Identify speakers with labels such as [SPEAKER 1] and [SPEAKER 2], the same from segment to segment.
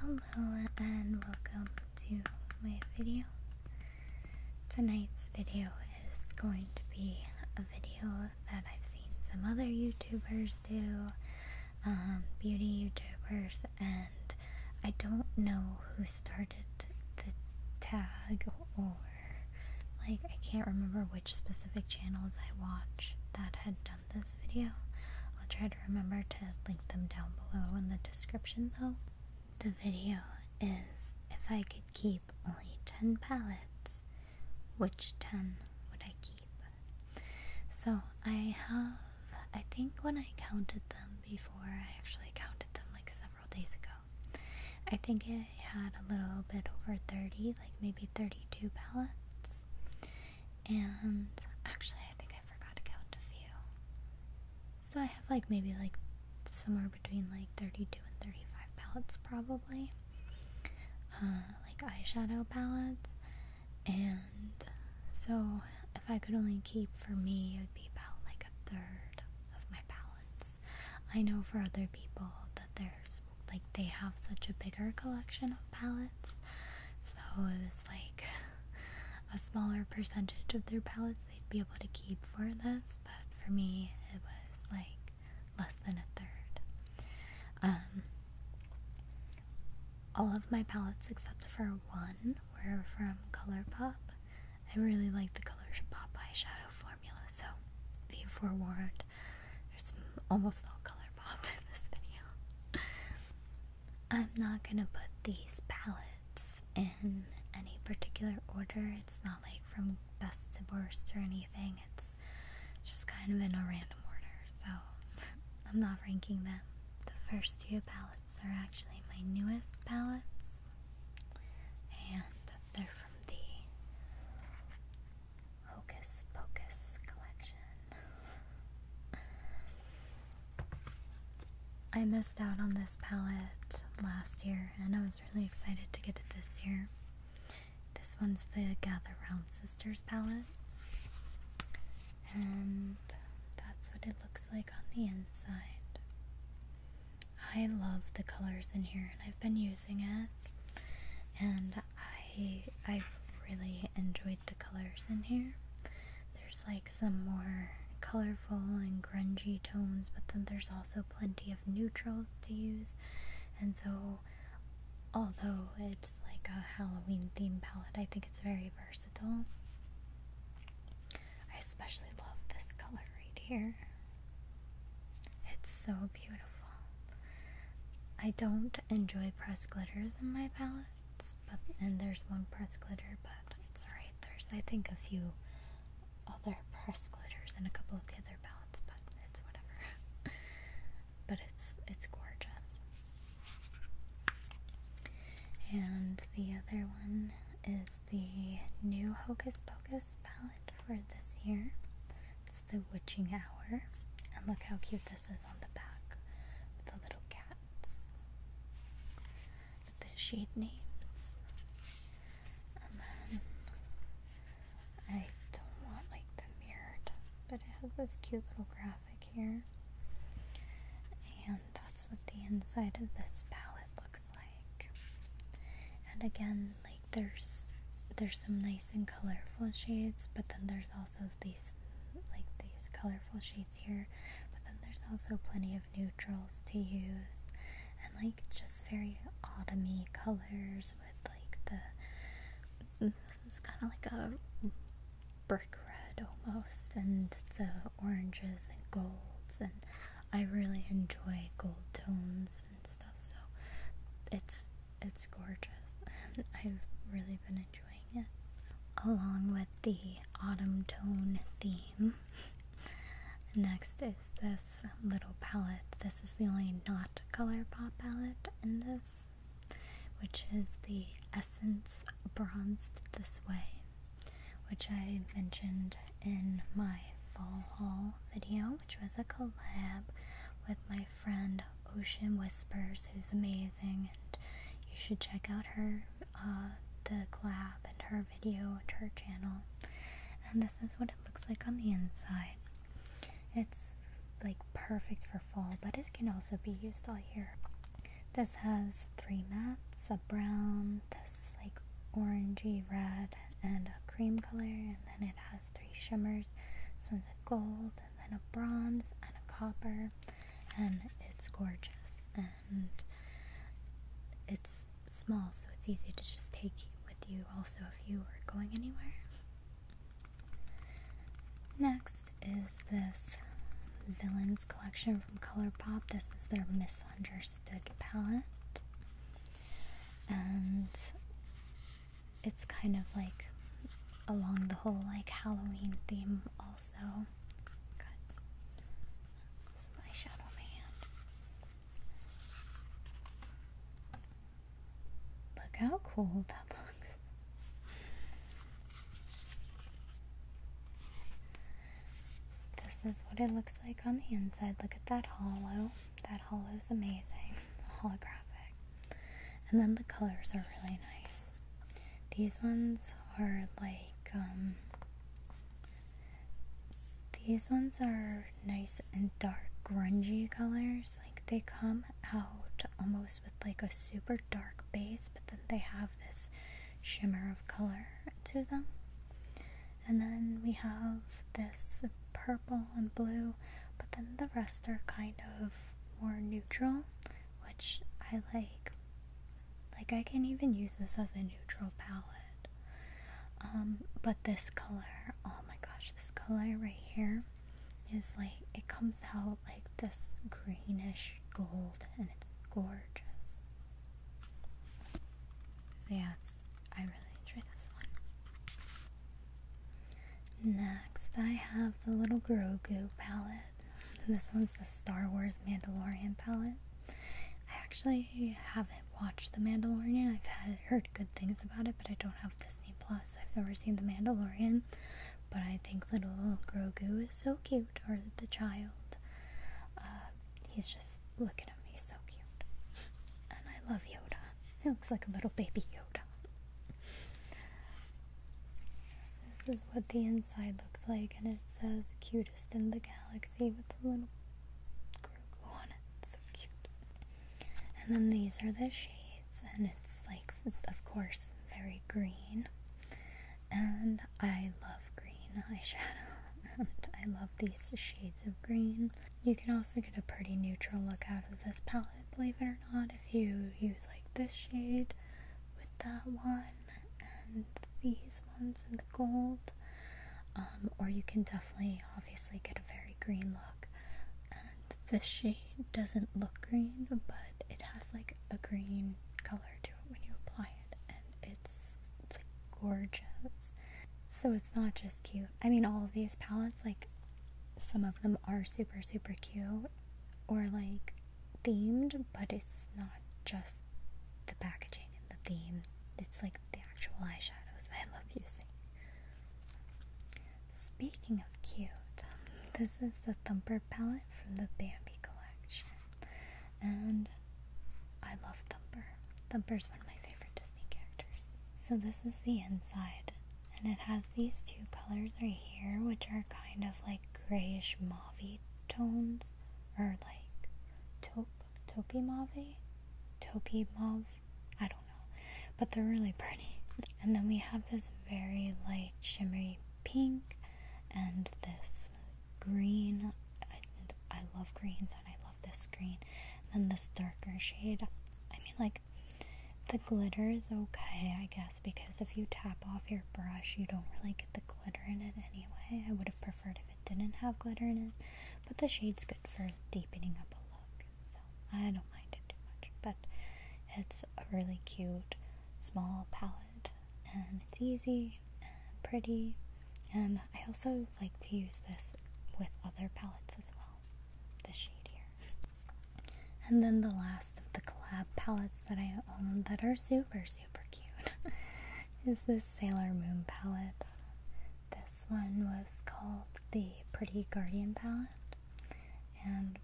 [SPEAKER 1] Hello and welcome to my video. Tonight's video is going to be a video that I've seen some other YouTubers do, um, beauty YouTubers, and I don't know who started the tag or like I can't remember which specific channels I watch that had done this video. I'll try to remember to link them down below in the description though. The video is if I could keep only 10 palettes, which 10 would I keep? So I have, I think when I counted them before, I actually counted them like several days ago. I think it had a little bit over 30, like maybe 32 palettes and actually I think I forgot to count a few. So I have like maybe like somewhere between like 32 and 35 palettes probably. Uh, like eyeshadow palettes and so if I could only keep for me it would be about like a third of my palettes. I know for other people that there's like they have such a bigger collection of palettes. So it was like a smaller percentage of their palettes they'd be able to keep for this, but for me it was like less than a third. Um, all of my palettes except for one were from ColourPop. I really like the ColourPop eyeshadow formula, so be forewarned there's almost all color pop in this video. I'm not gonna put these palettes in any particular order. It's not like from best to worst or anything. It's just kind of in a random order. So I'm not ranking them. The first two palettes are actually my newest palettes. And they're from the Hocus Pocus collection. I missed out on this palette last year and I was really excited to get it this year. This one's the Gather Round Sisters palette. And that's what it looks like on the inside. I love the colors in here and I've been using it. And I I've really enjoyed the colors in here. There's like some more colorful and grungy tones, but then there's also plenty of neutrals to use. And so although it's like a Halloween theme palette, I think it's very versatile. I especially love this color right here. It's so beautiful. I don't enjoy pressed glitters in my palettes, but and there's one pressed glitter, but it's alright. There's I think a few other pressed glitters in a couple of the other palettes, but it's whatever. but it's it's gorgeous. And the other one is the new Hocus Pocus palette for this year. It's the witching hour. And look how cute this is on the back with the little cats. the shade names. And then I don't want like the mirrored, but it has this cute little graphic here. And that's what the inside of this palette looks like. And again, like there's there's some nice and colorful shades, but then there's also so these like these colorful shades here but then there's also plenty of neutrals to use and like just very autumny colors with like the mm, it's kind of like a brick red almost and the oranges and golds and I really enjoy gold tones and stuff so it's it's gorgeous. I've really been enjoying it. Along with the autumn tone theme. Next is this little palette. This is the only not color pop palette in this, which is the Essence Bronzed This Way, which I mentioned in my fall haul video which was a collab with my friend Ocean Whispers, who's amazing, and you should check out her uh, the collab and her video and her channel. And this is what it looks like on the inside. It's like perfect for fall, but it can also be used all year. This has three mattes, a brown, this like orangey red, and a cream color, and then it has three shimmers. This one's a gold, and then a bronze and a copper, and it's gorgeous and it's small, so it's easy to just take with you also if you are going anywhere. Next is this Villains collection from ColourPop. This is their Misunderstood palette. And it's kind of like along the whole like Halloween theme also. Look how cool that looks. This is what it looks like on the inside. Look at that hollow. That hollow is amazing holographic. And then the colors are really nice. These ones are like, um, these ones are nice and dark, grungy colors. Like they come out almost with like a super dark base, but then they have this shimmer of color to them. And then we have this purple and blue, but then the rest are kind of more neutral, which I like. Like, I can even use this as a neutral palette. Um, but this color, oh my gosh, this color right here is like, it comes out like this greenish gold, and it's gorgeous. So, I really enjoy this one. Next, I have the Little Grogu palette. This one's the Star Wars Mandalorian palette. I actually haven't watched The Mandalorian. I've had, heard good things about it, but I don't have Disney Plus. I've never seen The Mandalorian, but I think Little Grogu is so cute, or the child. Uh, he's just looking at me so cute. And I love Yoda. It looks like a little baby Yoda. This is what the inside looks like, and it says cutest in the galaxy with a little Grogu on it. So cute. And then these are the shades, and it's like, of course, very green. And I love green eyeshadow. and I love these shades of green. You can also get a pretty neutral look out of this palette, believe it or not, if you use like this shade with that one and these ones in the gold. Um, or you can definitely obviously get a very green look. And this shade doesn't look green, but it has like a green color to it when you apply it, and it's like gorgeous. So it's not just cute, I mean, all of these palettes, like, some of them are super, super cute or like themed, but it's not just the packaging and the theme, it's like the actual eyeshadows I love using. Speaking of cute, this is the Thumper palette from the Bambi collection, and I love Thumper. Thumper is one of my favorite so this is the inside, and it has these two colors right here, which are kind of like grayish mauve tones, or like taupe, taupey mauve, taupey mauve. I don't know, but they're really pretty. And then we have this very light shimmery pink, and this green. I, love greens. I love this green. And then this darker shade. I mean, like, the glitter is okay, I guess, because if you tap off your brush, you don't really get the glitter in it anyway. I would have preferred if it didn't have glitter in it. But the shade's good for deepening up a look. So I don't mind it too much. But it's a really cute, small palette. And it's easy and pretty. And I also like to use this with other palettes as well the shade here. And then the last of the collab palettes that I own that are super, super cute is this Sailor Moon palette. This one was called the Pretty Guardian palette. And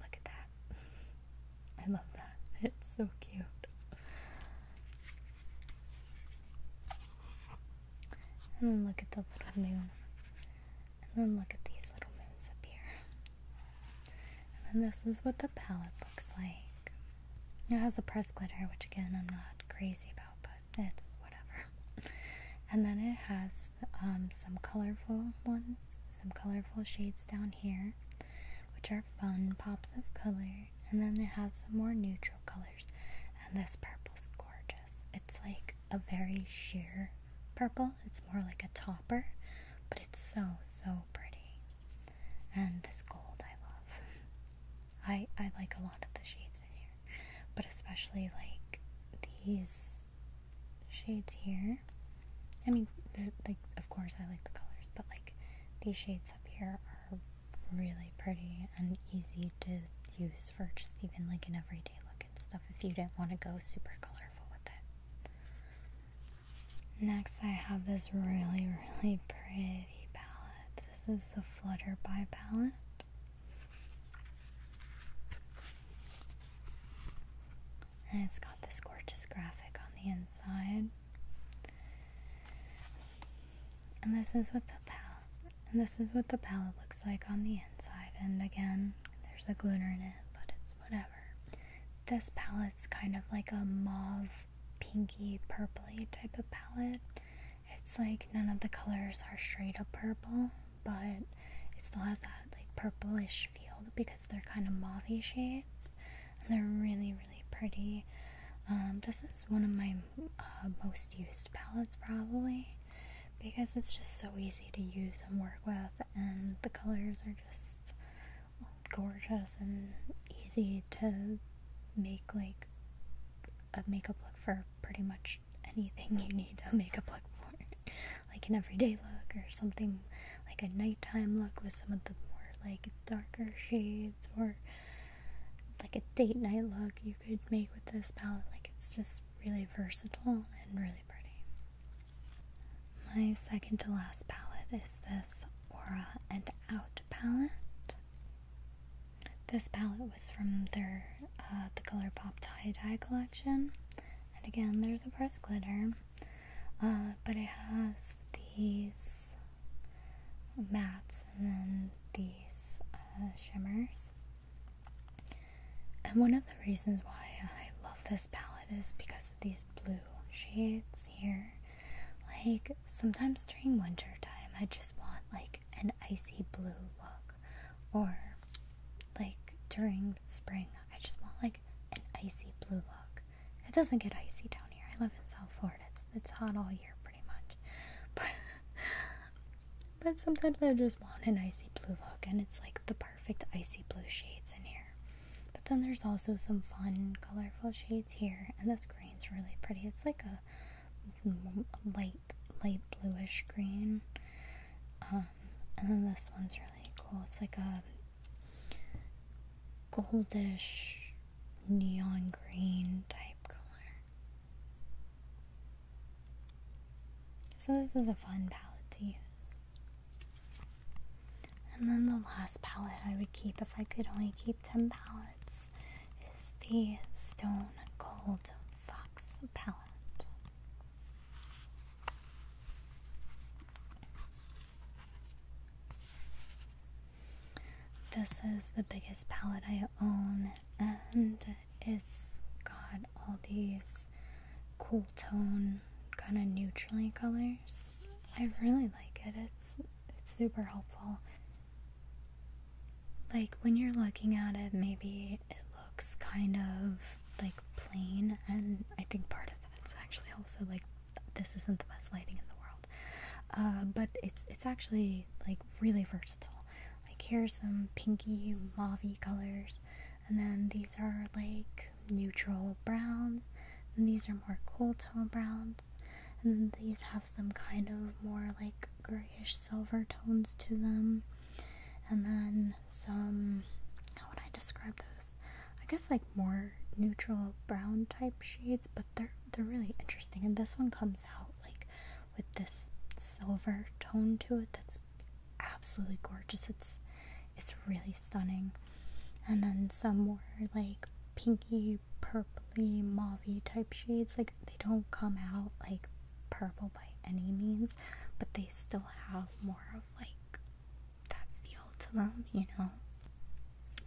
[SPEAKER 1] look at that. I love that. It's so cute. And then look at the little moon. And then look at these little moons up here. And then this is what the palette looks like. It has a pressed glitter, which again I'm not crazy about, but it's whatever. And then it has um, some colorful ones, some colorful shades down here, which are fun pops of color and then it has some more neutral colors. And this purple's gorgeous. It's like a very sheer purple. It's more like a topper, but it's so so pretty. And this gold I love. I I like a lot of the shades in here, but especially like these shades here. I mean, like of course I like the colors, but like these shades up here are really pretty and easy to use for just even like an everyday look and stuff if you didn't want to go super colorful with it. Next, I have this really, really pretty palette. This is the Flutter by palette. And it's got this gorgeous graphic on the inside. And this is with the palette and this is what the palette looks like on the inside. And again, there's a glitter in it, but it's whatever. This palette's kind of like a mauve, pinky, purply type of palette. It's like none of the colors are straight up purple, but it still has that like purplish feel because they're kind of mauvy shades. And they're really, really pretty. Um, this is one of my uh, most used palettes probably because it's just so easy to use and work with and the colors are just gorgeous and easy to make like a makeup look for pretty much anything you need a makeup look for like an everyday look or something like a nighttime look with some of the more like darker shades or like a date night look you could make with this palette. Like it's just really versatile and really pretty. My second to last palette is this Aura and Out palette. This palette was from their uh, the Color Pop tie dye collection, and again there's a press glitter, uh, but it has these Mats and then these uh, shimmers. And one of the reasons why I love this palette is because of these blue shades here. Like sometimes during winter time, I just want like an icy blue look, or like during spring, I just want like an icy blue look. It doesn't get icy down here. I live in South Florida. It's, it's hot all year, much. But but sometimes I just want an icy blue look, and it's like the perfect icy blue shades in here. But then there's also some fun, colorful shades here, and this green's really pretty. It's like a light, light bluish green. Um, and then this one's really cool. It's like a goldish neon green type color. So, this is a fun palette to use. And then the last palette I would keep if I could only keep 10 palettes is the Stone Gold Fox palette. This is the biggest palette I own, and it's got all these cool tone, kind of neutrally colors. I really like it. It's it's super helpful. Like when you're looking at it, maybe it looks kind of like plain, and I think part of it's actually also like this isn't the best lighting in the world. Uh, but it's it's actually like really versatile. Like here's some pinky mauvey colors, and then these are like neutral browns, these are more cool tone browns, and these have some kind of more like grayish silver tones to them, and then some. How would I describe those? I guess like more neutral brown type shades, but they're they're really interesting. And this one comes out like with this silver tone to it that's absolutely gorgeous. It's it's really stunning. And then some more like pinky, purply, mauvy type shades. Like they don't come out like purple by any means, but they still have more of like that feel to them, you know.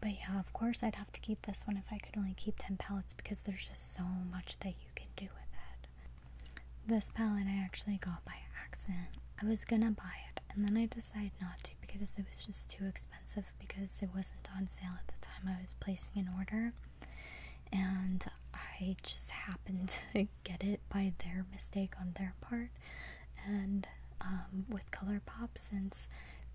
[SPEAKER 1] But yeah, of course, I'd have to keep this one if I could only keep 10 palettes because there's just so much that you can do with it. This palette I actually got by accident. I was gonna buy it and then I decided not to because it was just too expensive because it wasn't on sale at the time I was placing an order. And I just happened to get it by their mistake on their part and um, with ColourPop since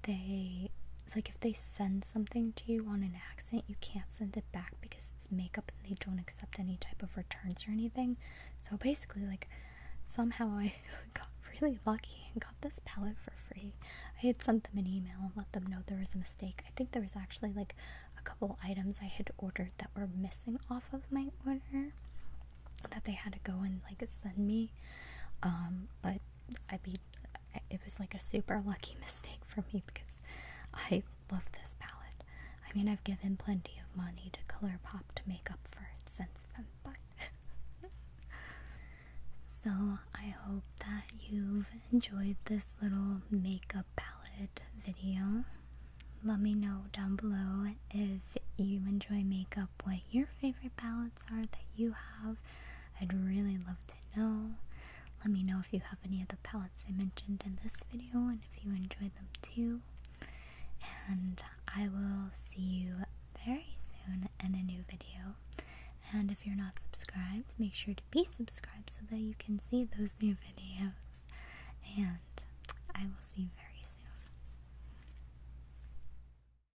[SPEAKER 1] they like if they send something to you on an accident, you can't send it back because it's makeup and they don't accept any type of returns or anything. So basically, like somehow I got really lucky and got this palette for free. I had sent them an email and let them know there was a mistake. I think there was actually like a couple items I had ordered that were missing off of my order that they had to go and like send me. Um, but I mean, it was like a super lucky mistake for me because I love this palette. I mean, I've given plenty of money to ColourPop to make up for it since then, but. so, I hope that you've enjoyed this little makeup palette video. Let me know down below if you enjoy makeup, what your favorite palette that you have. I'd really love to know. Let me know if you have any of the palettes I mentioned in this video and if you enjoyed them too. And I will see you very soon in a new video. And if you're not subscribed, make sure to be subscribed so that you can see those new videos. And I will see you very soon.